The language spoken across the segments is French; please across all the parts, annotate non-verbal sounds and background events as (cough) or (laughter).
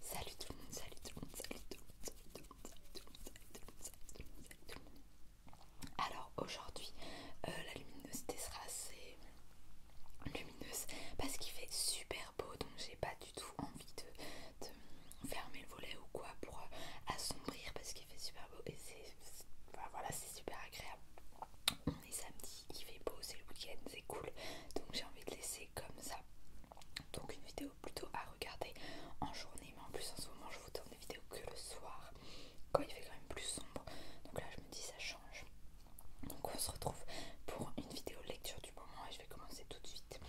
Salut tout le monde, salut tout le monde, salut tout le monde, salut tout le monde, salut tout le monde, salut tout le monde, salut tout le monde, Alors aujourd'hui, euh, la luminosité sera assez lumineuse parce qu'il fait super beau donc j'ai pas du tout envie de, fermer le volet ou quoi pour euh, assombrir parce qu'il fait super beau et c'est voilà, c'est super agréable. On est samedi, il fait beau, c'est le week-end, c'est cool donc j'ai envie de laisser comme ça donc une vidéo plutôt à regarder en journée mais en plus en ce moment je vous tourne des vidéos que le soir quand il fait quand même plus sombre donc là je me dis ça change donc on se retrouve pour une vidéo lecture du moment et je vais commencer tout de suite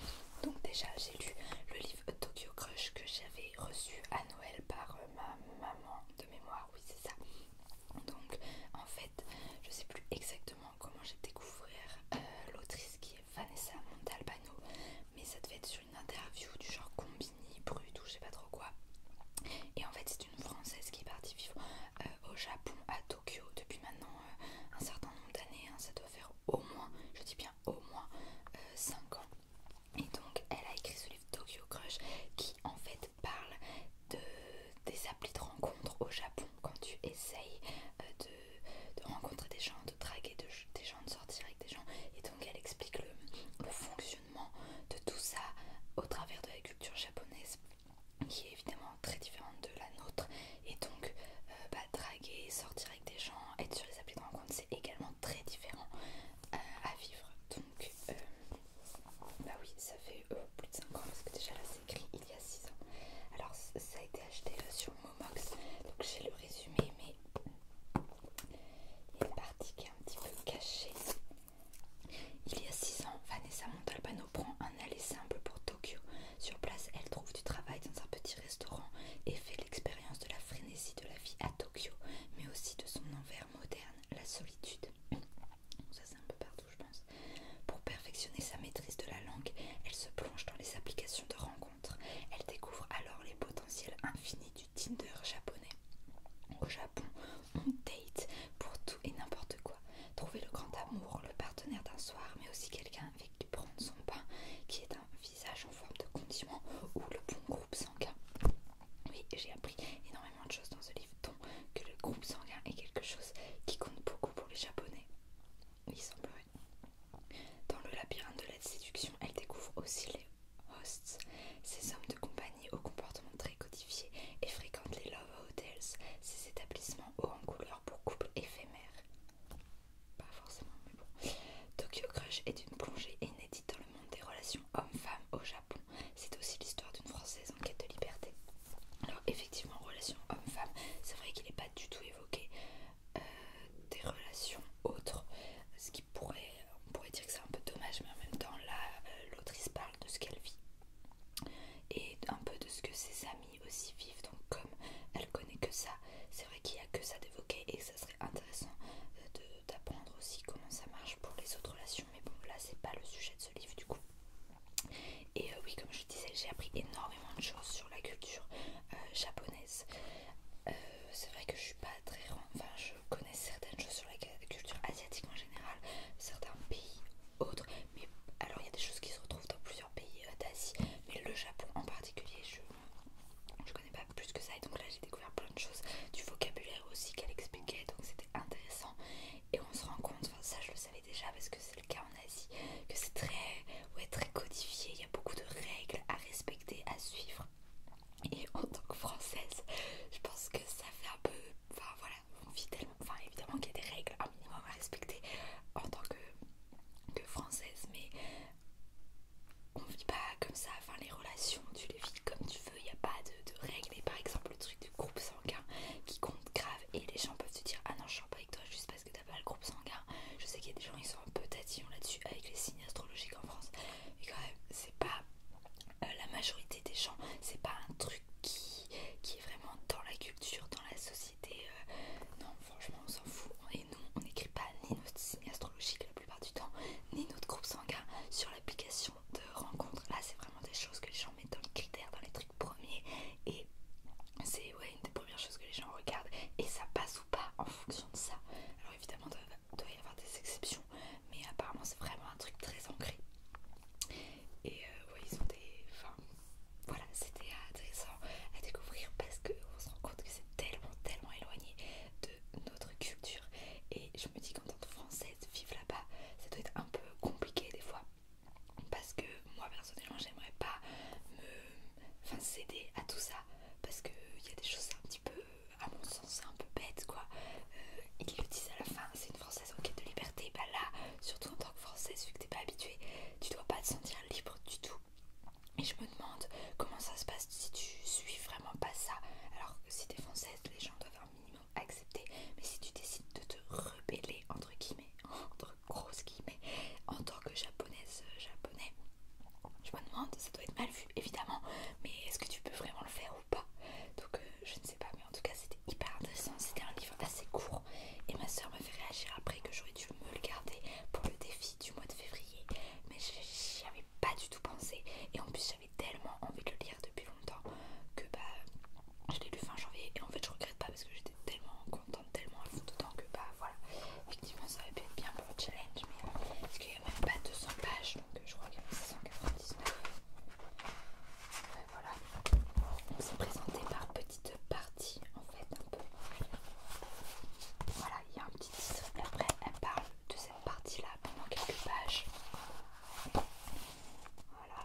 donc déjà j'ai lu le livre Tokyo Crush que j'avais reçu à Noël par euh, ma maman de mémoire oui c'est ça donc en fait je sais plus exactement comment j'ai découvert euh, l'autrice qui est Vanessa Montalbano, mais ça devait être sur une interview du genre Combini, Brut ou je sais pas trop quoi. Et en fait, c'est une Française qui est partie vivre euh, au Japon, à Tokyo, depuis maintenant euh, un certain nombre d'années. Hein. ça doit faire au moins, je dis bien au moins, 5 ans. Et donc, elle a écrit ce livre Tokyo Crush qui en fait parle de, des applis de rencontre au Japon quand tu essayes de de, rencontrer des gens, de draguer des gens, de sortir avec des gens. Et donc elle explique le, fonctionnement de tout ça au travers de la culture japonaise qui est évidemment très différente de la nôtre. Et donc euh, bah, draguer, sortir avec des gens, être sur les applis de rencontre, c'est également très différent euh, à vivre. Donc euh, bah oui, ça fait plus de 5 ans parce que déjà là il y a 6 ans. Alors ça a été acheté euh, sur Momox, donc j'ai le résumé, mais il y a une partie qui est un petit peu cachée. Il y a 6 ans, Vanessa Montalbano prend un aller simple pour Tokyo. Sur place, elle trouve du travail dans un petit restaurant et fait l'expérience de la frénésie de la vie à Tokyo, mais aussi de son envers moderne, la solitude. Ça c'est un peu partout je pense. Pour perfectionner sa maîtrise de la langue, elle se plonge dans les applications de rencontres. Elle découvre alors les potentiels infinis du Tinder japonais. Au Japon, on date pour tout et n'importe quoi. Trouver le grand amour, le partenaire d'un soir, mais aussi quelqu'un avec qui prendre son pain, qui est un visage en forme de condiment ou le bon groupe sanguin. Oui, j'ai appris énormément de choses dans ce livre, dont que le groupe sanguin est quelque chose qui compte beaucoup pour les Japonais. Il Dans le labyrinthe de la séduction, elle découvre aussi les hosts, ces hommes de compagnie au comportement très codifié et fréquente les love hotels, ces établissements hauts en couleur pour couples éphémères. Pas forcément, mais bon. Tokyo Crush est une plongée inédite dans le monde des relations hommes femme au Japon. C'est aussi l'histoire d'une Française en quête de liberté. Alors effectivement, relation homme-femme, c'est vrai qu'il n'est pas du tout évoqué des relations autres, ce qui pourrait, on pourrait dire que c'est un peu dommage, mais en même temps là, l'autrice parle de ce qu'elle vit et un peu de ce que ses amis aussi vivent. Donc comme elle connaît que ça, c'est vrai qu'il n'y a que ça d'évoquer et ça serait intéressant euh, d'apprendre aussi comment ça marche pour les autres relations. Mais bon, là c'est pas le sujet de ce livre du coup. Et euh, oui, comme je disais, j'ai appris énormément de choses sur la culture euh, japonaise. Euh, c'est vrai que je suis pas très enfin, je connais certaines choses sur la culture asiatique en général, certains pays, autres. Mais alors, il y a des choses qui se retrouvent dans plusieurs pays d'Asie, mais le Japon en particulier, je je connais pas plus que ça. Et donc là, j'ai découvert plein de choses, du vocabulaire aussi qu'elle expliquait, donc c'était intéressant. Et on se rend compte, enfin, ça je le savais déjà parce que c'est le cas en Asie, que c'est très, ouais, très codifié, il y a beaucoup de règles à respecter, à suivre. Et en tant que française, je pense que ça fait un peu... Enfin voilà, on vit tellement... Enfin évidemment qu'il y a des règles, un minimum à respecter en tant que, française, mais on vit pas comme ça. Enfin les relations, tu les vis comme tu veux, il n'y a pas de, règles. Et par exemple le truc du groupe sanguin qui compte grave et les gens peuvent se dire « Ah non, je suis pas avec toi juste parce que t'as pas le groupe sanguin. Je sais qu'il y a des gens qui sont un peu tatillons là-dessus avec les signes astrologiques en France. Mais quand même, c'est pas euh, la majorité des gens, c'est pas un truc qui, qui est vraiment dans la culture, dans la société. Euh. non, franchement, on s'en fout. Et nous, on n'écrit pas ni notre signe astrologique la plupart du temps, ni notre groupe sanguin sur l'application de rencontre. Là, c'est vraiment des choses que les gens mettent dans les critères, dans les trucs premiers. Et c'est et ouais, une des premières choses que les gens regardent et ça passe ou pas en fonction de ça. Alors évidemment, il doit y avoir des exceptions, mais apparemment c'est vraiment un truc très ancré. Et euh, ouais, ils ont des... Enfin, voilà, c'était intéressant à découvrir parce qu'on se rend compte que c'est tellement, tellement éloigné de notre culture. Et je me dis qu'en tant que Française, vivre là-bas, ça doit être un peu compliqué des fois. Parce que moi personnellement, j'aimerais pas me enfin céder à tout ça parce il y a des choses un petit peu, à mon sens, un peu bêtes quoi. et euh, ils le disent à la fin, c'est une française en quête de liberté. Bah là, surtout en tant que française, vu que t'es pas habitué tu dois pas te sentir libre du tout. Et je me demande comment ça se passe si tu suis vraiment pas ça. Alors que si t'es française, les gens doivent un minimum accepter. Mais si tu décides de te rebeller, entre guillemets, (laughs) entre grosse en tant que japonaise, euh, japonais, je me demande, ça doit être mal vu évidemment, mais est-ce que tu peux vraiment le faire ou pas Donc euh, je ne sais pas, mais en tout cas c'était hyper intéressant, c'était un livre assez court et ma soeur m'a fait réagir après que j'aurais dû me le garder pour le défi du mois de février, mais j'y avais pas du tout pensé et en plus j'avais tellement envie de le lire depuis longtemps que bah je l'ai lu fin janvier et en fait je regrette pas parce que j'étais tellement contente, tellement à fond dedans que bah voilà, effectivement ça avait pu être bien pour le challenge, mais euh, parce qu'il n'y a même pas 200 pages, donc euh, je crois qu'il y en a 699. voilà, on s'est présenté par petite partie en fait, un peu. Voilà, il y a un petit titre, et après elle parle de cette partie là pendant quelques pages. Voilà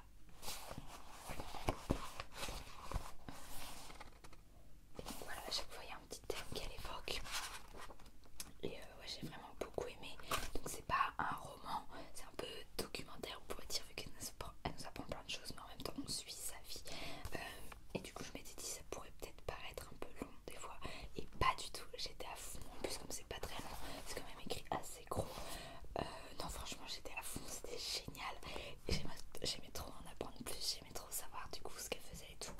donc voilà, à chaque fois il y a un petit thème qu'elle évoque. Et euh, ouais, j'ai vraiment beaucoup aimé. Donc c'est pas un roman, c'est un peu documentaire, on pourrait dire, vu qu'elle nous, apprend plein de choses, mais en même temps on suit sa vie. Euh, et du coup je m'étais dit ça pourrait peut-être paraître un peu long des fois. Et pas du tout, j'étais à fond. En plus comme c'est pas très long, c'est quand même écrit assez gros. Euh, non franchement j'étais à fond, c'était génial. J'aimais trop en apprendre plus, trop savoir du coup ce qu'elle faisait et tout.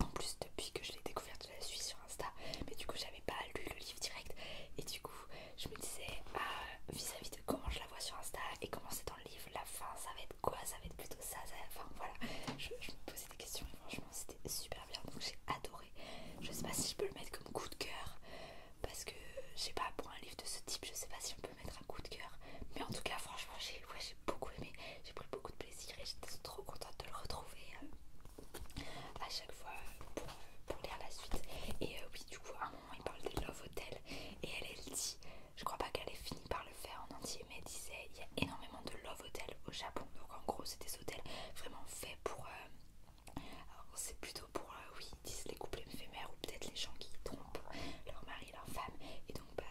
En plus, depuis que je l'ai découverte, je la suis sur Insta, mais du coup, j'avais pas lu le livre direct. Et du coup, je me disais, euh, vis-à-vis de comment je la vois sur Insta et comment c'est dans le livre, la fin, ça va être quoi Ça va être plutôt ça, Enfin, voilà. Je, me posais des questions et franchement, c'était super bien. Donc, j'ai adoré. Je sais pas si je peux le mettre comme coup de cœur parce que, je sais pas, pour un livre de ce type, je sais pas si on peut mettre un coup de cœur. Mais en tout cas, franchement, j'ai j'ai beaucoup aimé, j'ai pris beaucoup de plaisir et j'étais trop contente de le retrouver euh, à chaque fois euh, pour, lire la suite. Et euh, oui, du coup, à un moment, il parle des Love hotels et elle, elle dit, je crois pas qu'elle ait fini par le faire en entier, mais elle disait, il y a énormément de Love hotels au Japon. Donc en gros, c'est des hôtels vraiment faits pour... c'est plutôt pour, oui, disent les couples éphémères ou peut-être les gens qui trompent leur mari, leur femme. Et donc, bah,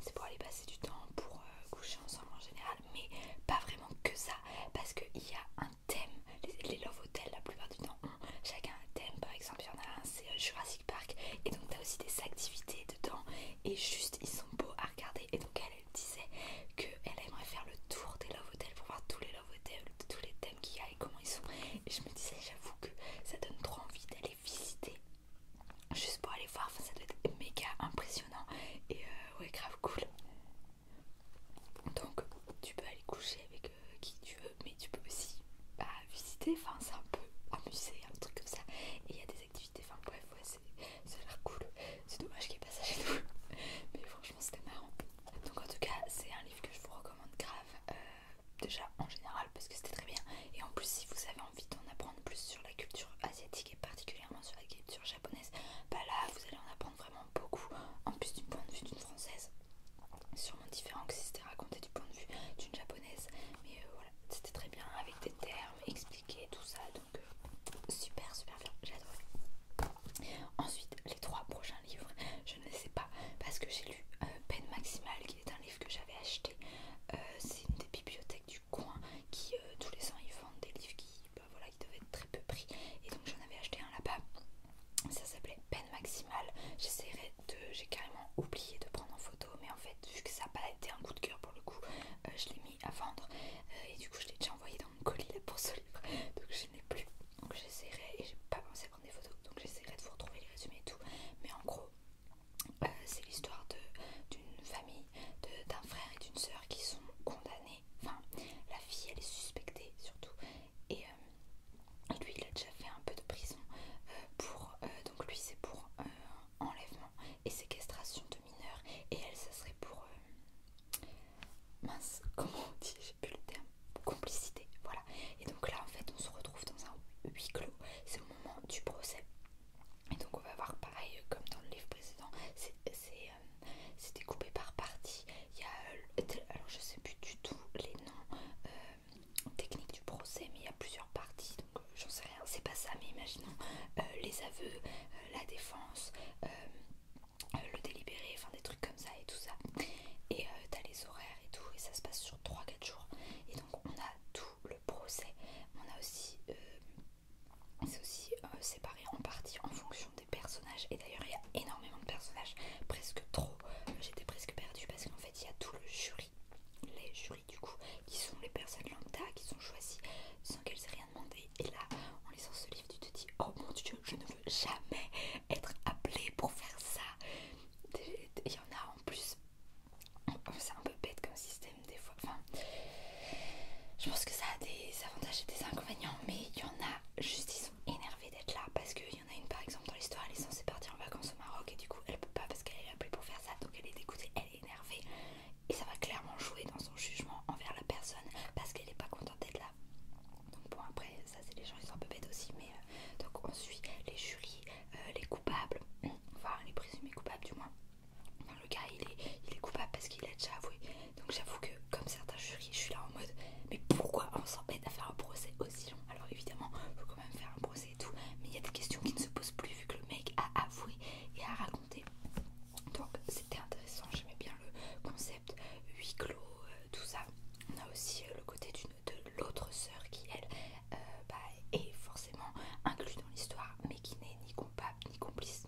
c'est pour aller passer du temps, pour euh, coucher ensemble en général, mais pas vraiment que ça, parce qu'il y a un thème. Les, Love Hotels, la plupart du temps, ont chacun un thème. Par exemple, il y en a un, c'est euh, Jurassic Park. Et donc, t'as aussi des activités dedans, et juste, ils sont beaux à regarder. Et donc, elle, elle disait qu'elle aimerait faire le tour des Love Hotels pour voir tous les Love Hotels, tous les thèmes qu'il y a et comment ils sont. Et je me disais, j'avoue que ça donne trop envie d'aller visiter juste pour aller voir, ça doit être méga impressionnant et euh, ouais grave cool. Donc tu peux aller coucher avec euh, qui tu veux, mais tu peux aussi bah, visiter, enfin c'est un peu amusé, un truc comme ça. Et il y a des activités, enfin bref, ouais, ça a l'air cool. C'est dommage qu'il n'y ait pas ça chez nous, (laughs) mais franchement c'était marrant. Donc en tout cas c'est un livre que je vous recommande grave. Euh, déjà en général parce que c'était très bien et en plus si vous avez envie d'en apprendre plus sur la culture asiatique et particulièrement sur la culture japonaise bah là vous allez en apprendre vraiment beaucoup en plus du point de vue d'une française sûrement différent que si c'était raconté du point de vue d'une japonaise mais euh, voilà c'était très bien avec des termes expliqués tout ça donc euh, super super bien j'ai adoré ensuite les trois prochains livres je ne sais pas parce que j'ai lu euh, peine maximale qui est un livre que j'avais acheté euh, c'est une des bibliothèques du coin qui euh, tous les ans ils vendent des livres qui, bah, voilà, devaient être très peu pris. Et donc j'en avais acheté un là-bas. Ça s'appelait Peine Maximale. J'essaierai de, j'ai carrément oublié de prendre en photo, mais en fait vu que ça n'a pas été un coup de cœur pour le coup, euh, je l'ai mis à vendre. et du coup je l'ai déjà envoyé dans mon colis pour ce livre. Donc je n'ai plus. Donc j'essaierai et j'ai pas pensé à prendre des photos. Donc j'essaierai de vous retrouver les résumés et tout. Mais en gros euh, c'est l'histoire d'une famille, d'un frère et d'une soeur qui sont condamnés. Enfin, la fille, elle est suspectée surtout. Et euh, lui, il a déjà fait un peu de prison. Euh, pour, donc lui, c'est pour enlèvement et séquestration de mineurs. Et elle, ça serait pour... mince, (laughs) comment on dit J'ai plus le terme. Complicité. Voilà. Et donc là, en fait, on se retrouve dans un huis clos du procès. Et donc on va voir pareil euh, comme dans le livre précédent, c'est c'est découpé euh, par parties. Il y a, euh, alors je sais plus du tout les noms techniques du procès, mais il y a plusieurs parties, donc j'en sais rien, c'est pas ça, mais imaginons les aveux, la défense, le délibéré, enfin des trucs comme ça et tout ça. Et tu as les horaires et tout, et ça se passe sur 3-4 jours. Donc on a tout le procès. On a aussi... Euh, c'est aussi euh, séparé en partie en fonction des personnages. Et d'ailleurs il y a énormément de personnages. Presque trop. Euh, j'étais presque perdue parce qu'en fait il y a tout le jury. Les jurys du coup qui sont les personnes lambda qui sont choisies sans qu'elles aient rien demandé. Et là en lisant ce livre tu te dis oh mon dieu je ne veux jamais être appelée pour faire ça. Il y en a en plus c'est un peu bête comme système des fois. Enfin, je pense que ça a des avantages et des inconvénients, mais il y en a juste, ils sont énervés d'être là parce qu'il y en a une par exemple dans l'histoire, elle est censée partir en vacances au Maroc et du coup elle peut pas parce qu'elle est appelée pour faire ça, donc elle est dégoûtée, elle est énervée et ça va clairement jouer dans son jugement envers la personne parce qu'elle n'est pas contente d'être là. Donc bon après ça c'est les gens ils sont un peu bêtes aussi mais euh, donc on suit les jurys, euh, les coupables, enfin les présumés coupables du moins. dans le cas il est, il est coupable parce qu'il a déjà avoué. Donc j'avoue que comme certains jurys, je suis là en mode mais pourquoi on s'embête à faire un procès aussi long Alors évidemment, faut quand même faire un procès et tout, mais il y a des questions qui ne se posent plus vu que le mec a avoué et a raconté. Donc c'était intéressant, j'aimais bien le concept huis clos, euh, tout ça. On a aussi euh, le côté du de l'autre sœur qui, elle, euh, bah, est forcément inclue dans l'histoire, mais qui n'est ni coupable ni complice.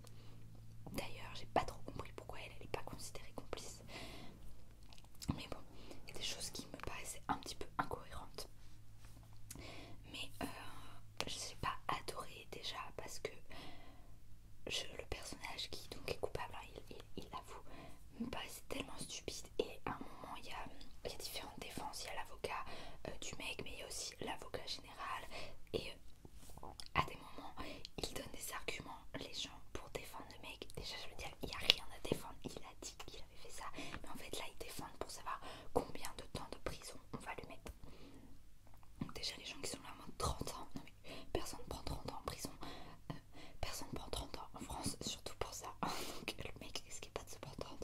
D'ailleurs, j'ai pas trop compris pourquoi elle n'est pas considérée complice. Mais bon, il y a des choses qui me paraissaient un petit peu incohérentes. Mais euh, je sais pas adoré déjà parce que le personnage qui donc est coupable, hein, il, il, avoue, c'est tellement stupide. Et à un moment, il y a, différentes défenses. Il y a l'avocat euh, du mec, mais il y a aussi l'avocat général. Et euh, à des moments, il donne des arguments, les gens, pour défendre le mec. Déjà, je veux dire, il n'y a rien à défendre. Il a dit qu'il avait fait ça. Mais en fait, là, il défendent pour savoir combien de temps de prison on va lui mettre. Donc déjà, les gens qui sont là en mode 30 ans. Non, mais personne ne prend 30 ans en prison. Euh, personne ne prend 30 ans en France, surtout pour ça. (laughs) Donc le mec est pas de se prendre de ans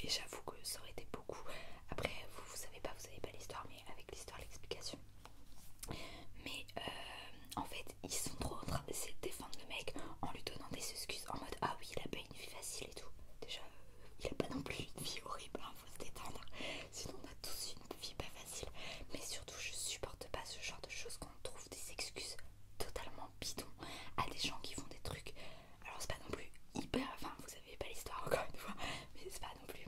et j'avoue que ça aurait été beaucoup. Après, vous, vous savez pas, vous savez pas l'histoire, mais avec l'histoire, l'explication. Mais euh, en fait, ils sont trop en train défendre le mec en lui donnant des excuses en mode Ah oui, il a pas une vie facile et tout. Déjà, euh, il a pas non plus une vie horrible, hein, faut se détendre. Sinon, on a tous une vie pas facile. Mais surtout, je supporte pas ce genre de choses qu'on trouve des excuses totalement bidons à des gens qui font des trucs alors c'est pas non plus hyper, enfin vous savez pas l'histoire encore une fois, mais c'est pas non plus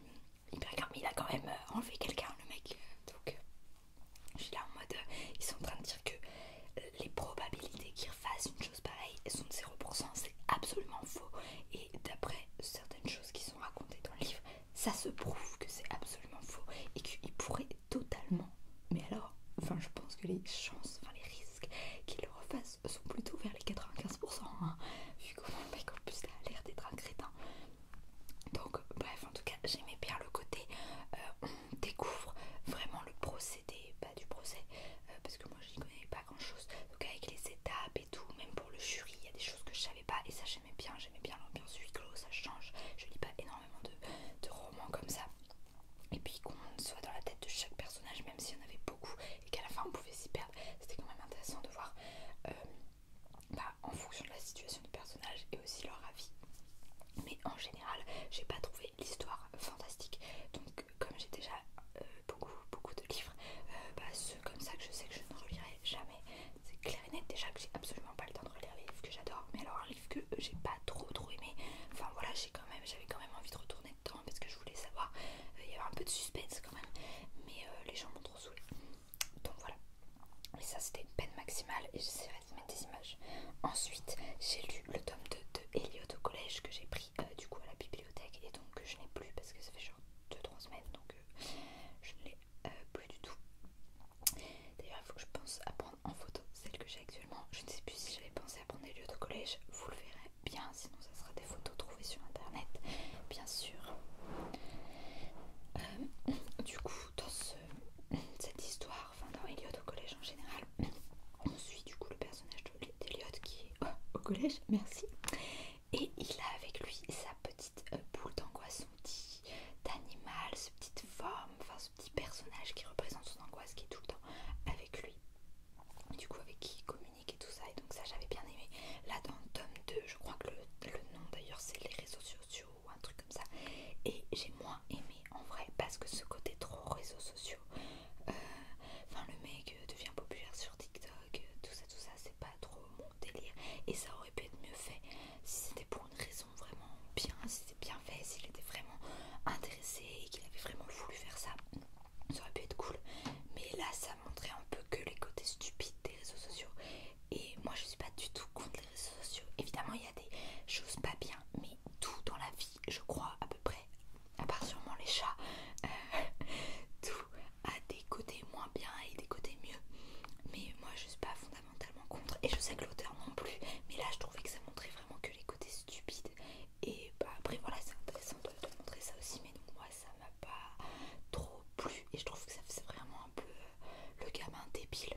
hyper grave, mais il a quand même euh, enlevé quelqu'un le mec, euh, donc euh, je suis là en mode, ils sont en train de dire que les probabilités qu'il refasse une chose pareille sont de 0%, c'est absolument faux, et d'après certaines choses qui sont racontées dans le livre, ça se prouve que c'est absolument faux, et qu'il pourrait totalement mais alors, enfin je pense que les chances, enfin les risques qu'il le refasse sont plutôt vers les 95%, hein, vu comment le mec en plus a l'air d'être un crétin. Donc bref, en tout cas j'aimais bien le côté, euh, on découvre vraiment le procédé, pas bah, du procès, euh, parce que moi je n'y connais pas grand chose, donc avec les étapes et tout, même pour le jury, il y a des choses que je savais pas et ça j'aimais bien, j'aimais bien l'ambiance huis clos, ça change, je lis pas énormément de romans comme ça et puis qu'on soit dans la tête de chaque personnage, même s'il y en avait beaucoup et qu'à la fin on pouvait s'y perdre, c'était quand même intéressant de voir euh, bah, en fonction de la situation du personnage et aussi leur avis. Mais en général, j'ai pas trouvé l'histoire fantastique. Donc, comme j'ai déjà euh, beaucoup, beaucoup de livres, euh, bah, ceux comme ça que je sais que je ne relirai jamais, c'est clair et net déjà que j'ai absolument pas le temps de relire les livres que j'adore. Mais alors, que j'ai pas trop trop aimé. Enfin voilà, j'ai quand même, j'avais quand même envie de retourner dedans parce que je voulais savoir. Euh, il y avait un peu de suspense quand même, mais euh, les gens m'ont trop saoulé. Donc voilà. mais ça c'était une peine maximale et j'essaierai de mettre des images. Ensuite, j'ai lu le tome 2 de Elliot au collège que j'ai pris euh, du coup à la bibliothèque et donc que je n'ai plus parce que ça fait genre 2-3 semaines donc je ne l'ai plus du tout. D'ailleurs, il faut que je pense à prendre en photo celle que j'ai actuellement. Je ne sais plus si j'avais pensé prendre des lieux collège, vous le verrez bien, sinon ça sera des photos trouvées sur internet, bien sûr. Euh, du coup, dans cette histoire, enfin dans Elliot au collège en général, on suit du coup le personnage d'Eliot qui est oh, au collège, merci, et il a avec lui sa petite euh, boule d'angoisse, son petit animal, ce petite forme, enfin ce petit personnage qui représente son angoisse qui est tout le temps avec lui du coup avec qui communiquer et tout ça et donc ça j'avais bien aimé là dans tome 2 je crois que le, nom d'ailleurs c'est les réseaux sociaux un truc comme ça et j'ai moins aimé en vrai parce que ce côté trop réseaux sociaux euh, enfin le mec euh, devient populaire sur TikTok euh, tout ça tout ça c'est pas trop mon délire et ça aurait pu être mieux fait si c'était pour une raison vraiment bien si c'était bien fait, s'il était vraiment intéressé et qu'il avait vraiment voulu faire ça, ça aurait pu être cool. Mais là, ça montrait un peu que les côtés stupides des réseaux sociaux. Et moi, je suis pas du tout contre les réseaux sociaux. Évidemment, il y a des choses pas bien, mais tout dans la vie, je crois, à peu près, à part sûrement les chats, euh, (laughs) tout a des côtés moins bien et des côtés mieux. Mais moi, je suis pas fondamentalement contre. Et je sais que l'auteur non plus. Mais là, je trouvais que ça montrait vraiment que les côtés stupides et bah, après voilà c'est intéressant de, te montrer ça aussi mais donc moi ça m'a pas trop plu et je trouve que ça faisait vraiment un peu euh, le gamin débile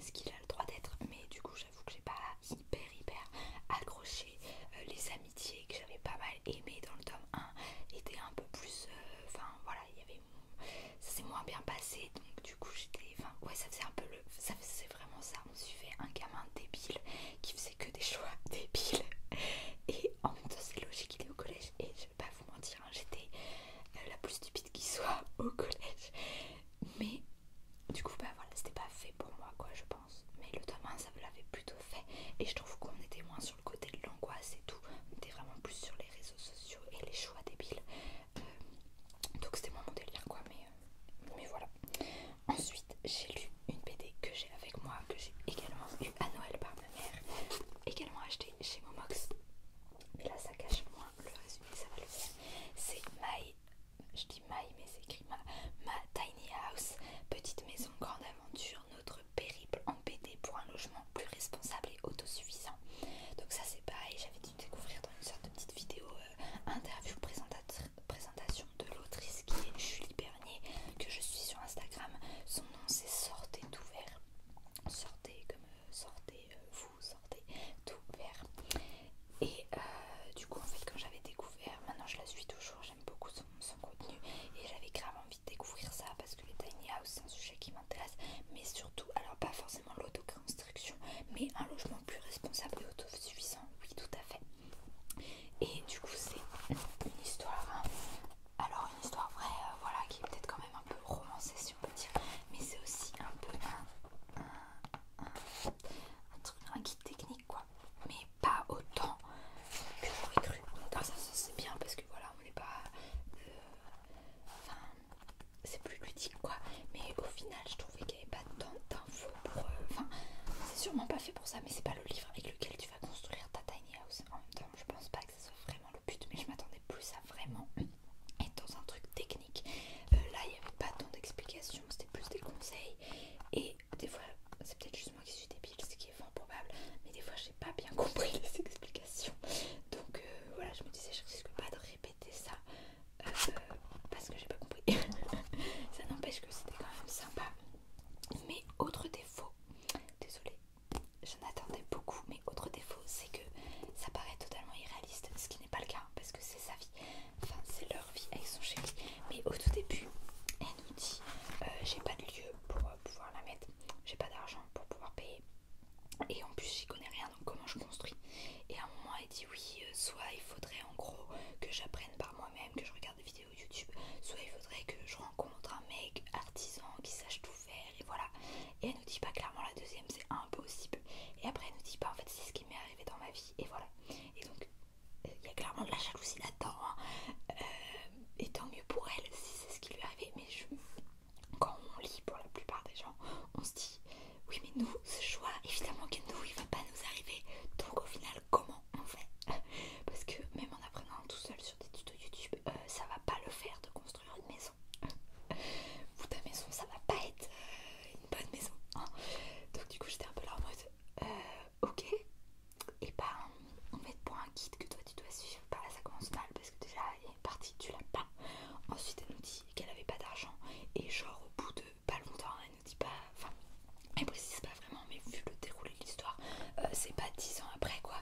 ce qu'il a le droit d'être mais du coup j'avoue que j'ai pas hyper hyper accroché euh, les amitiés que j'avais pas mal aimées dans le tome 1 était un peu plus euh, enfin voilà il y avait ça s'est moins bien passé donc du coup j'étais enfin ouais ça faisait un peu le ça c'est vraiment ça on suivait un gamin débile qui faisait que des choix (laughs) débiles. Et en c'est logique, il est au collège. Et je vais pas vous mentir, hein, j'étais euh, la plus stupide qui soit (laughs) au collège. Mais du coup, bah voilà, c'était pas fait pour moi, quoi, je pense. Mais le demain ça me l'avait plutôt fait. Et je trouve qu'on était moins sur le côté de l'angoisse et tout. On était vraiment plus sur les réseaux sociaux et les choix débiles. Euh, donc c'était moins mon délire, quoi. Mais, euh, mais voilà. Ensuite, j'ai lu une BD que j'ai avec moi, que j'ai également eu à Noël par ma mère, également achetée chez Momox. Mais là, ça cache moins le résumé, ça va le faire. C'est My, je dis My, mais c'est écrit ma, Tiny House, petite maison, grande aventure, notre périple en BD pour un logement plus responsable et autosuffisant. Donc, ça, c'est pareil, j'avais dû découvrir dans une sorte de petite vidéo euh, interview présentatrice présentation de l'autrice qui est Julie Bernier, que je suis sur Instagram. Son nom c'est Sortez tout vert. Sortez comme euh, sortez euh, vous, sortez tout vert. Et euh, du coup en fait quand j'avais découvert, maintenant je la suis toujours, j'aime beaucoup son, contenu et j'avais grave envie de découvrir ça parce que les tiny house c'est un sujet qui m'intéresse, mais surtout, alors pas forcément l'autoconstruction, mais un logement plus responsable et autosuffisant, oui tout à fait. Et du coup, c'est une histoire, hein. alors une histoire vraie, euh, voilà, qui est peut-être quand même un peu romancée, si on peut dire, mais c'est aussi un peu un, truc, un guide technique, quoi, mais pas autant que j'aurais cru. Alors ça c'est bien parce que voilà, on n'est pas. Euh, enfin, c'est plus ludique, quoi, mais au final, je trouvais que pas tant d'infos pour. Euh, enfin, c'est sûrement pas fait pour ça, mais c'est pas le livre avec lequel tu vas construire ta tiny house. En même temps, je pense pas que ce soit vraiment le but, mais je m'attendais plus à vraiment être dans un truc technique. Euh, là, il n'y avait pas tant d'explications, c'était plus des conseils. Et des fois, c'est peut-être juste moi qui suis débile, ce qui est fort probable, mais des fois, j'ai pas bien compris (laughs) les explications. Donc euh, voilà, je me disais, je risque pas de répéter ça euh, parce que j'ai pas compris. (laughs) ça n'empêche que c'était quand même sympa. Mais autre défaut, désolé, j'en attendais beaucoup, mais autre défaut, c'est que ça paraît totalement irréaliste, ce qui n'est pas le cas, parce que c'est sa vie, enfin c'est leur vie avec son chéri. Mais au tout début, elle nous dit euh, j'ai pas de lieu pour euh, pouvoir la mettre, j'ai pas d'argent pour pouvoir payer, et en plus j'y connais rien, donc comment je construis Et à un moment dit oui, euh, soit il faudrait en gros que j'apprenne par moi-même, que je regarde des vidéos YouTube, soit il faudrait que je rencontre un mec artisan qui sache tout faire et voilà. Et elle nous dit pas clairement la deuxième, c'est impossible. Et après elle nous dit pas bah, en fait c'est ce qui m'est arrivé dans ma vie et voilà. Et donc euh, il y a clairement de la jalousie là-dedans. Hein. Euh, et tant mieux pour elle si c'est ce qui lui est arrivé. Mais quand on lit pour la plupart des gens, on se dit oui mais nous ce choix évidemment que nous il va pas nous arriver. Donc au final comment on fait parce que même en apprenant tout seul sur des tutos YouTube, euh, ça va pas le faire de construire une maison. Ou ta maison, ça va pas être euh, une bonne maison. Hein. Donc du coup, j'étais un peu là en euh, ok. Et ben, on met pour un guide que toi tu dois suivre. Par bah, la ça commence mal parce que déjà, il y a une partie tu l'aimes pas. Ensuite, elle nous dit qu'elle avait pas d'argent et genre au bout de pas longtemps, hein, elle nous dit pas, enfin, elle précise pas vraiment, mais vu le déroulé de l'histoire, euh, c'est pas 10 ans après quoi.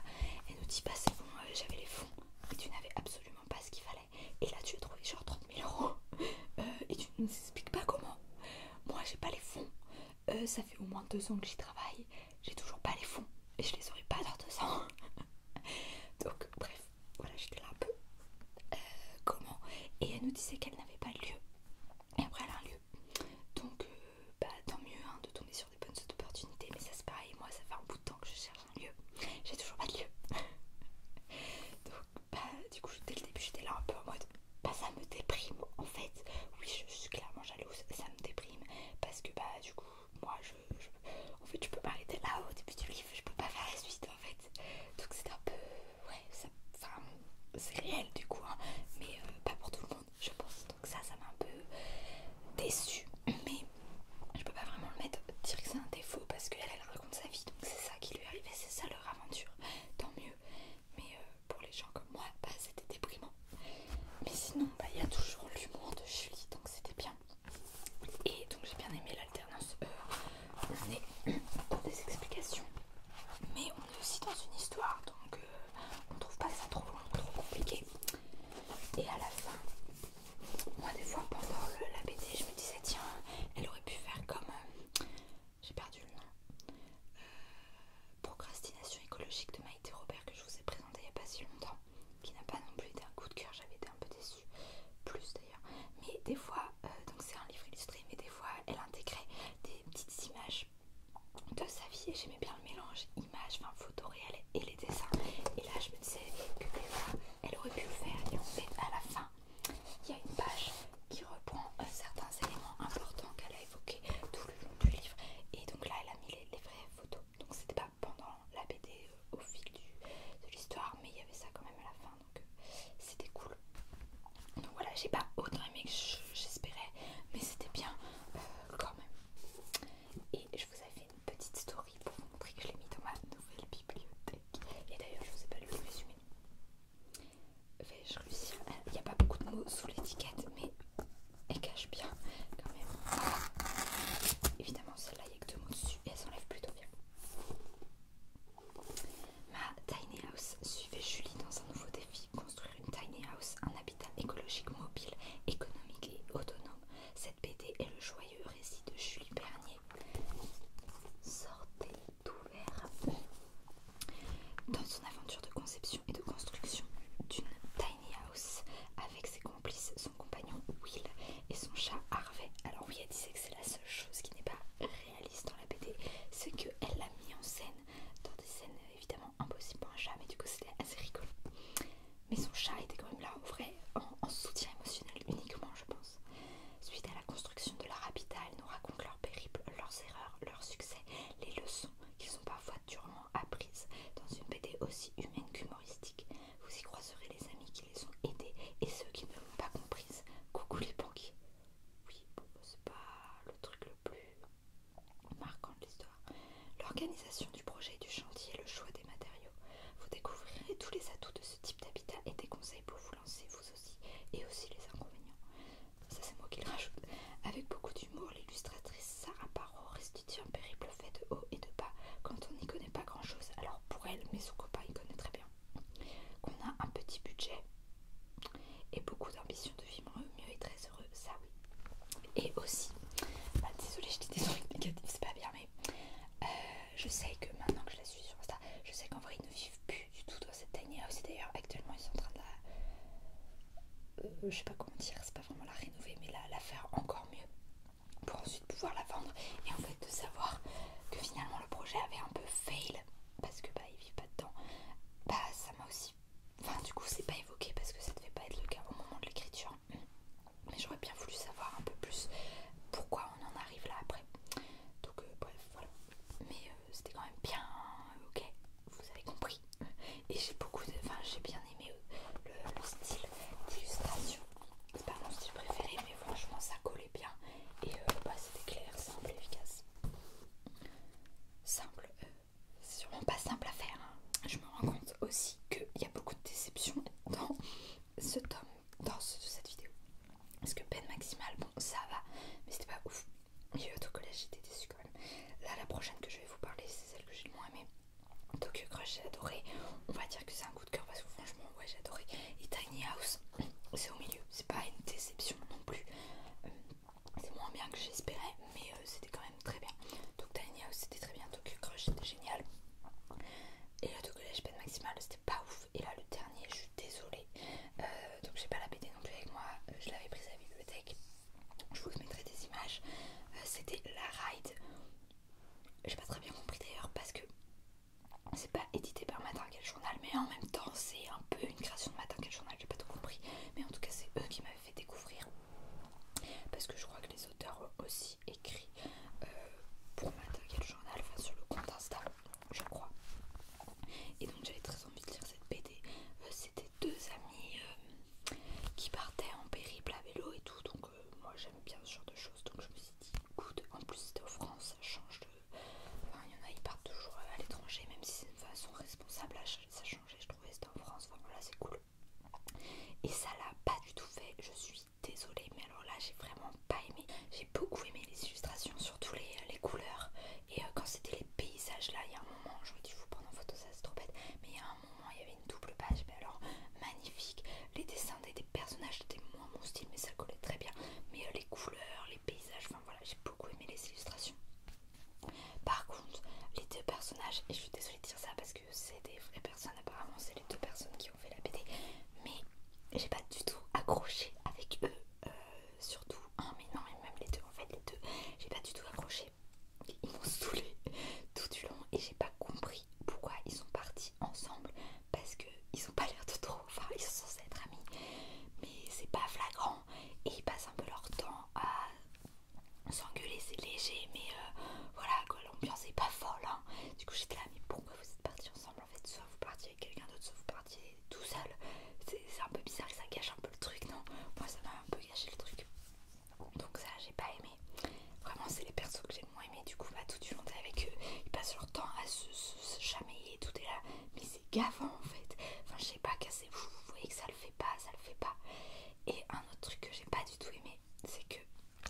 Elle nous dit pas, c'est bon, euh, j'avais les fonds, mais tu n'avais absolument pas ce qu'il fallait. Et là, tu as trouvé genre 30 mille euros, (laughs) euh, et tu ne nous expliques pas comment. Moi, j'ai pas les fonds, ça fait au moins deux ans que j'y travaille, j'ai toujours pas les fonds, et je les aurais pas dans deux ans. (laughs) Donc, bref, voilà, j'étais là un peu. comment Et elle nous disait qu'elle n'avait pas lieu et après elle a un lieu. Donc euh, bah, tant mieux hein, de tomber sur des bonnes opportunités. Mais ça c'est pareil, moi ça fait un bout de temps que je cherche un lieu. J'ai toujours pas de lieu. (laughs) Donc bah, du coup dès le début j'étais là un peu en mode bah ça me déprime en fait. Oui je, suis clairement jalouse, ça me déprime. Parce que bah du coup moi je... en fait je peux m'arrêter là au début du livre, je peux pas faire la suite en fait. Donc c'est un peu ouais, c'est réel du coup, hein. mais euh, pas pour tout le monde, je pense. Donc ça, ça m'a un peu déçue. Mais je peux pas vraiment le mettre, dire que c'est un défaut parce qu'elle, elle raconte sa vie, donc c'est ça qui lui est arrivé, c'est ça leur aventure. Tant mieux. Mais euh, pour les gens comme moi, bah, c'était déprimant. Mais sinon, bah, il y a toujours l'humour de Julie, donc c'était bien. Et donc j'ai bien aimé l'alternance. Euh, on est dans des explications mais on est aussi dans une histoire donc on euh, on trouve pas ça trop long, trop compliqué. Et à la fin, moi des fois pendant la BD, je me disais tiens, elle aurait pu faire comme euh, j'ai perdu le nom. Euh, procrastination écologique de Maïté Robert que je vous ai présenté il n'y a pas si longtemps, qui n'a pas non plus été un coup de cœur, j'avais été un peu déçue, plus d'ailleurs. Mais des fois, donc c'est un livre illustré, mais des fois elle intégrait des petites images de sa vie et j'aimais bien le mélange images, enfin photos réelles et les dessins. Et là, je me disais que fois elle aurait pu le faire. Et en fait, à la fin, il y a une page qui reprend euh, certains éléments importants qu'elle a évoqués tout le long du livre. Et donc là, elle a mis les, vraies photos. Donc c'était pas pendant la BD euh, au fil de l'histoire, mais il y avait ça quand même à la fin. Donc euh, c'était cool. Donc voilà, j'ai pas autant aimé que j'espérais, mais c'était bien euh, quand même. Et je vous avais fait une petite story pour vous montrer que je l'ai mis dans ma nouvelle bibliothèque. Et d'ailleurs, je vous ai pas lu le résumé. Vais-je réussir Il n'y a pas beaucoup de mots sous l'étiquette, mais elle cache bien quand même. Évidemment, celle-là, il n'y a que deux mots dessus et elle s'enlève plutôt bien. Ma tiny house suivait Julie dans un nouveau défi, construire une tiny house, un habitat écologique mobile, économique et autonome. Cette BD est le joyeux récit de Julie Bernier. Sortez d'ouvert. Dans son aventure de conception et de construction d'une tiny house, avec ses complices, son compagnon Will et son chat Harvey. Alors oui, elle disait que c'est la seule chose qui n'est pas réaliste dans la BD, c'est qu'elle l'a mis en scène dans des scènes euh, évidemment impossibles pour un chat, mais du coup c'était assez rigolo. Mais son chat était quand même là en vrai, en, soutien émotionnel uniquement, je pense. Suite à la construction de leur habitat, nous racontent leurs périples, leurs erreurs, leurs succès, les leçons Qui sont parfois durement apprises dans une BD aussi humaine qu'humoristique. Vous y croiserez les amis qui les ont aidés et ceux qui ne l'ont pas comprise. Coucou les banquiers, oui, bon, c'est pas le truc le plus marquant de l'histoire. L'organisation du projet et du chantier le choix des matériaux. Vous découvrirez tous les atouts de ce type d'habitat et des conseils pour vous lancer vous aussi et aussi les inconvénients. Ça c'est moi qui le rajoute. Avec beaucoup d'humour, l'illustratrice Sarah Paro restitue un périple fait de haut et de bas quand on n'y connaît pas grand chose. Alors pour elle, mais son copain y connaît très bien. Qu'on a un petit budget et beaucoup d'ambition de vivre mieux et très heureux, ça oui. Et aussi, bah, désolée, je dis des trucs négatifs, c'est pas bien, mais euh, je sais que maintenant que je la suis sur Insta, je sais qu'en vrai ils ne vivent plus du tout dans cette tiny Aussi d'ailleurs, actuellement ils sont en train de la. Euh, je sais pas comment dire, c'est pas vraiment la rénover, mais la faire encore mieux pour ensuite pouvoir la vendre et en fait de savoir que finalement le projet avait un peu fail parce que bah ils vivent pas dedans, bah ça m'a aussi. Enfin du coup c'est pas évoqué parce que ça ne devait pas être le cas au moment de l'écriture. Mais j'aurais bien voulu savoir un peu plus pourquoi on en arrive là après. Donc euh, bref voilà. Mais euh, c'était quand même bien, hein, ok, vous avez compris. Et j'ai beaucoup de. Enfin j'ai bien aimé euh, le, style d'illustration. C'est pas mon style préféré mais franchement ça collait bien. Et bah, c'était clair, simple, efficace simple, c'est euh, sûrement pas simple à faire. Hein. Je me rends compte aussi qu'il y a beaucoup de déceptions dans ce tome, dans cette vidéo. Parce que peine maximale, bon ça va, mais c'était pas ouf. Il y a eu là j'étais déçue quand même. Là, la prochaine que je vais vous parler, c'est celle que j'ai le moins aimée. Tokyo Crush, j'ai adoré. On va dire que c'est un coup de cœur parce que franchement, ouais, j'ai adoré. Et Tiny House, c'est au milieu, c'est pas une déception non plus. Euh, c'est moins bien que j'espérais mais euh, c'était quand même très bien donc Tiny c'était très bien donc Crush c'était génial et le Tokyo Pen Maximal c'était pas ouf et là le dernier je suis désolée euh, donc j'ai pas la BD non plus avec moi euh, je l'avais prise à la bibliothèque je vous mettrai des images c'était la ride j'ai pas très bien compris d'ailleurs parce que c'est pas édité par Matin Quel Journal mais en même temps c'est un peu une création de Matin Quel Journal j'ai pas tout compris. Mais en tout cas, c'est eux qui m'avaient fait découvrir. Parce que je crois que les auteurs ont aussi écrit euh, pour le Journal, enfin sur le compte Insta, je crois. Et donc j'avais très envie de lire cette BD. Euh, c'était deux amis euh, qui partaient en périple à vélo et tout. Donc euh, moi j'aime bien ce genre de choses. Donc je me suis dit, écoute, en plus c'était en France, ça change de. Enfin, il y en a, ils partent toujours à l'étranger, même si c'est une façon responsable à ça changeait, je trouvais, c'était en France, voilà c'est cool. Et ça l'a pas du tout fait, je suis désolée, mais alors là j'ai vraiment pas aimé. J'ai beaucoup aimé les illustrations, surtout les, euh, couleurs. Et euh, quand c'était les paysages là, il y a un moment, je me dis, vous prendre en photo, ça c'est trop bête, mais il y a un moment, il y avait une double page, mais alors magnifique. Les dessins des, personnages, c'était moins mon style, mais ça collait très bien. Mais euh, les couleurs, les paysages, enfin voilà, j'ai beaucoup aimé les illustrations. Par contre, les deux personnages, et je suis désolée de dire ça parce que c'est des vraies personnes, apparemment c'est les deux personnes qui ont fait la BD, mais j'ai pas du tout accroché avec eux, euh, surtout un, mais non, mais même les deux, en fait, les deux, j'ai pas du tout accroché. Ils m'ont saoulé tout du long et j'ai pas compris pourquoi ils sont partis ensemble parce que ils ont pas l'air de trop, enfin ils sont censés être amis, mais c'est pas flagrant et ils passent un peu leur temps à s'engueuler, c'est léger, mais euh, voilà quoi, l'ambiance est pas folle. Hein. Du coup, j'étais là, mais pourquoi vous êtes partis ensemble en fait Soit vous partiez avec quelqu'un d'autre, soit vous partiez tout seul. C'est un peu bizarre que ça gâche un peu le truc, non Moi, ça m'a un peu gâché le truc. Donc, ça, j'ai pas aimé. Vraiment, c'est les persos que j'ai moins aimé. Du coup, bah, tout du monde est avec eux, ils passent leur temps à se, chamailler, tout est là. Mais c'est gavant en fait. Enfin, je sais pas, casser, vous voyez que ça le fait pas, ça le fait pas. Et un autre truc que j'ai pas du tout aimé, c'est que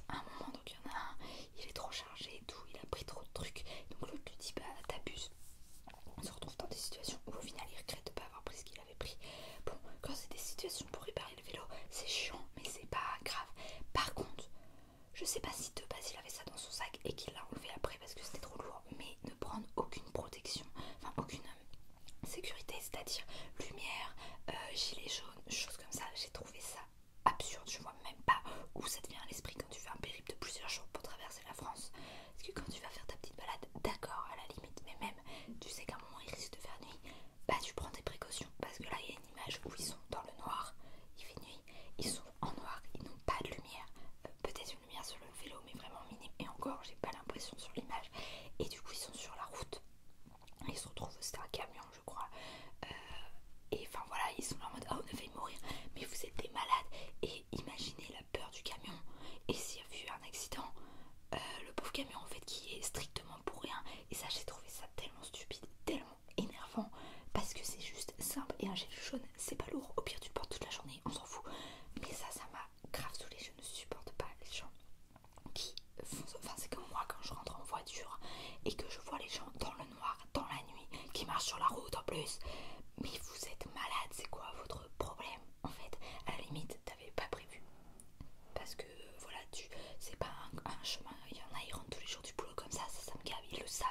à un moment, donc il y en a un, il est trop chargé et tout, il a pris trop de trucs. Donc l'autre lui dit, bah t'abuses. On se retrouve dans des situations où au final il regrette de pas avoir pris ce qu'il avait pris. Bon, quand c'est des situations pour réparer le vélo, c'est chiant, mais c'est pas grave. Par contre, je sais pas si de base il avait ça dans son sac et qu'il l'a enlevé après parce que c'était trop lourd mais ne prendre aucune protection, enfin aucune euh, sécurité, c'est-à-dire lumière, euh, gilet jaune, choses comme ça. J'ai trouvé ça absurde, je vois même pas où ça te vient à l'esprit quand tu fais un périple de plusieurs jours pour traverser la France. Parce que quand tu vas faire ta petite balade, d'accord, à la limite, mais même tu sais qu'à un moment il risque de faire nuit, bah tu prends des précautions parce que là il y a une image où ils sont dans le noir, il fait nuit, ils sont en noir, ils n'ont pas de lumière peut-être une lumière sur le vélo, mais vraiment minime. Et encore, j'ai pas l'impression sur l'image. Et du coup, ils sont sur la route. Ils se retrouvent, c'est un camion, je crois. Euh, et enfin voilà, ils sont là en mode ah, on a failli mourir, mais vous êtes des malades. Et imaginez la peur du camion. Et s'il y a eu un accident, euh, le pauvre camion en fait qui est strictement pour rien. Et ça, j'ai trouvé ça tellement stupide, tellement énervant. Parce que c'est juste simple. Et un gel jaune, c'est pas lourd. Au pire, tu le portes toute la journée, on s'en fout. Mais ça, ça m'a grave les je ne supporte pas les gens qui font Enfin, c'est comme moi quand je rentre en voiture et que je vois les gens dans le noir, dans la nuit, qui marchent sur la route en plus. Mais vous êtes malade, c'est quoi votre problème En fait, à la limite, t'avais pas prévu. Parce que voilà, tu c'est pas un, chemin. Il y en a, ils rentrent tous les jours du boulot comme ça, ça, ça me gave, ils le savent.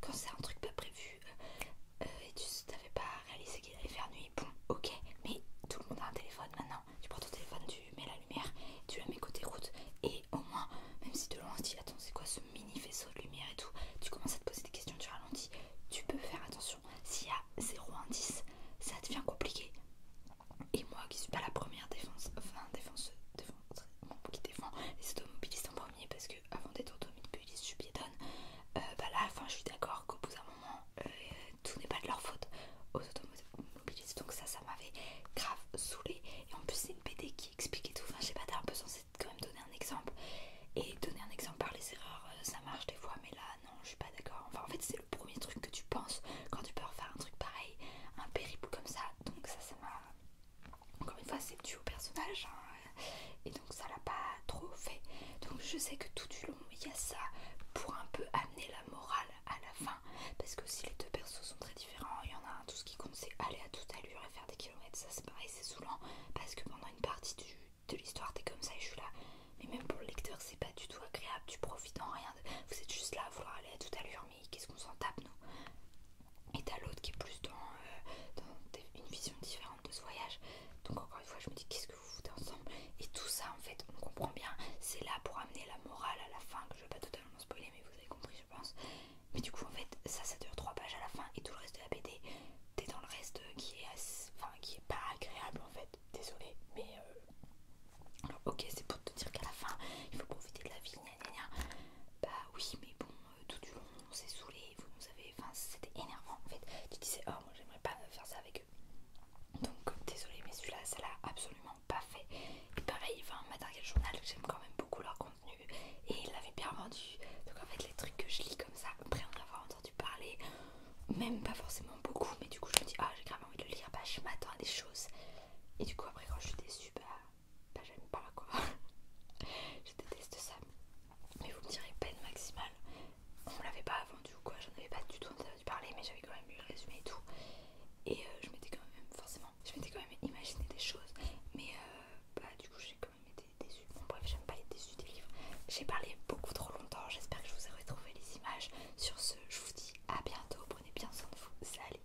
Quand c'est un truc pas prévu, euh, euh, et tu t'avais pas réalisé qu'il allait faire nuit. Bon, ok, mais tout le monde a un téléphone maintenant. Tu prends ton téléphone, tu mets la lumière, tu la mets côté route, et au moins, même si de loin on se dit, attends, c'est quoi ce mini faisceau de lumière et tout, tu commences à te poser des questions, tu ralentis, tu peux faire attention. S'il y a 0 indice, ça devient compliqué. Et moi qui suis pas la première défense, enfin défenseuse, défense qui défend les automobilistes en premier parce que avant d'être automobiliste je suis piétonne euh, bah là, enfin, je suis d'accord qu'au bout d'un moment, euh, tout n'est pas de leur faute aux automobilistes. Donc ça, ça m'avait grave saoulé. Et en plus, c'est une BD qui expliquait tout. Enfin, je pas, t'as un peu quand même donner un exemple. Et donner un exemple par les erreurs, euh, ça marche des fois, mais là, non, je suis pas d'accord. Enfin, en fait, c'est le premier truc que tu penses quand tu peux refaire un truc pareil, un périple comme ça. Donc ça, ça m'a... Encore une fois, c'est tu au personnage. Hein, et donc ça l'a pas trop fait. Donc je sais que tout du long il y a ça pour un peu amener la morale à la fin parce que si les deux persos sont très différents, il y en a un tout ce qui compte c'est aller à toute allure et faire des kilomètres, ça c'est pareil, c'est saoulant parce que pendant une partie de l'histoire t'es comme ça et je suis là. Mais même pour le lecteur c'est pas du tout agréable, tu profites en rien, vous êtes juste là à vouloir aller à toute allure mais qu'est-ce qu'on s'en tape nous Et t'as l'autre qui est plus dans, euh, une vision différente de ce voyage. Donc encore une fois je me dis qu'est-ce que vous ensemble et tout ça en fait on comprend bien c'est là pour amener la morale à la fin que je vais pas totalement spoiler mais vous avez compris je pense mais du coup en fait ça ça dure trois pages à la fin et tout le reste de la BD t'es dans le reste qui est enfin qui est pas agréable en fait désolé mais euh, ok c'est pour te dire qu'à la fin il faut profiter de la vie bah oui mais bon euh, tout du long on s'est saoulé vous nous avez enfin c'était énervant en fait tu disais oh moi j'aimerais pas faire ça avec donc désolé mais celui-là ça l'a absolument pas fait. Et pareil, enfin Matériel Journal, j'aime quand même beaucoup leur contenu et il l'avait bien vendu. Donc en fait les trucs que je lis comme ça, après en avoir entendu parler, même pas forcément beaucoup, mais du coup je me dis ah j'ai grave envie de le lire, bah je m'attends à des choses. Et du coup après quand je suis déçue, bah, bah j'aime pas quoi. (laughs) je déteste ça mais vous me direz peine maximale on l'avait pas vendu ou quoi j'en avais pas du tout entendu parler mais j'avais quand même eu le résumé et tout et euh, je m'étais quand même forcément je m'étais quand même imaginé des choses mais euh, bah du coup j'ai quand même été déçue bon bref j'aime pas être déçus des livres j'ai parlé beaucoup trop longtemps j'espère que je vous ai retrouvé les images sur ce je vous dis à bientôt prenez bien soin de vous salut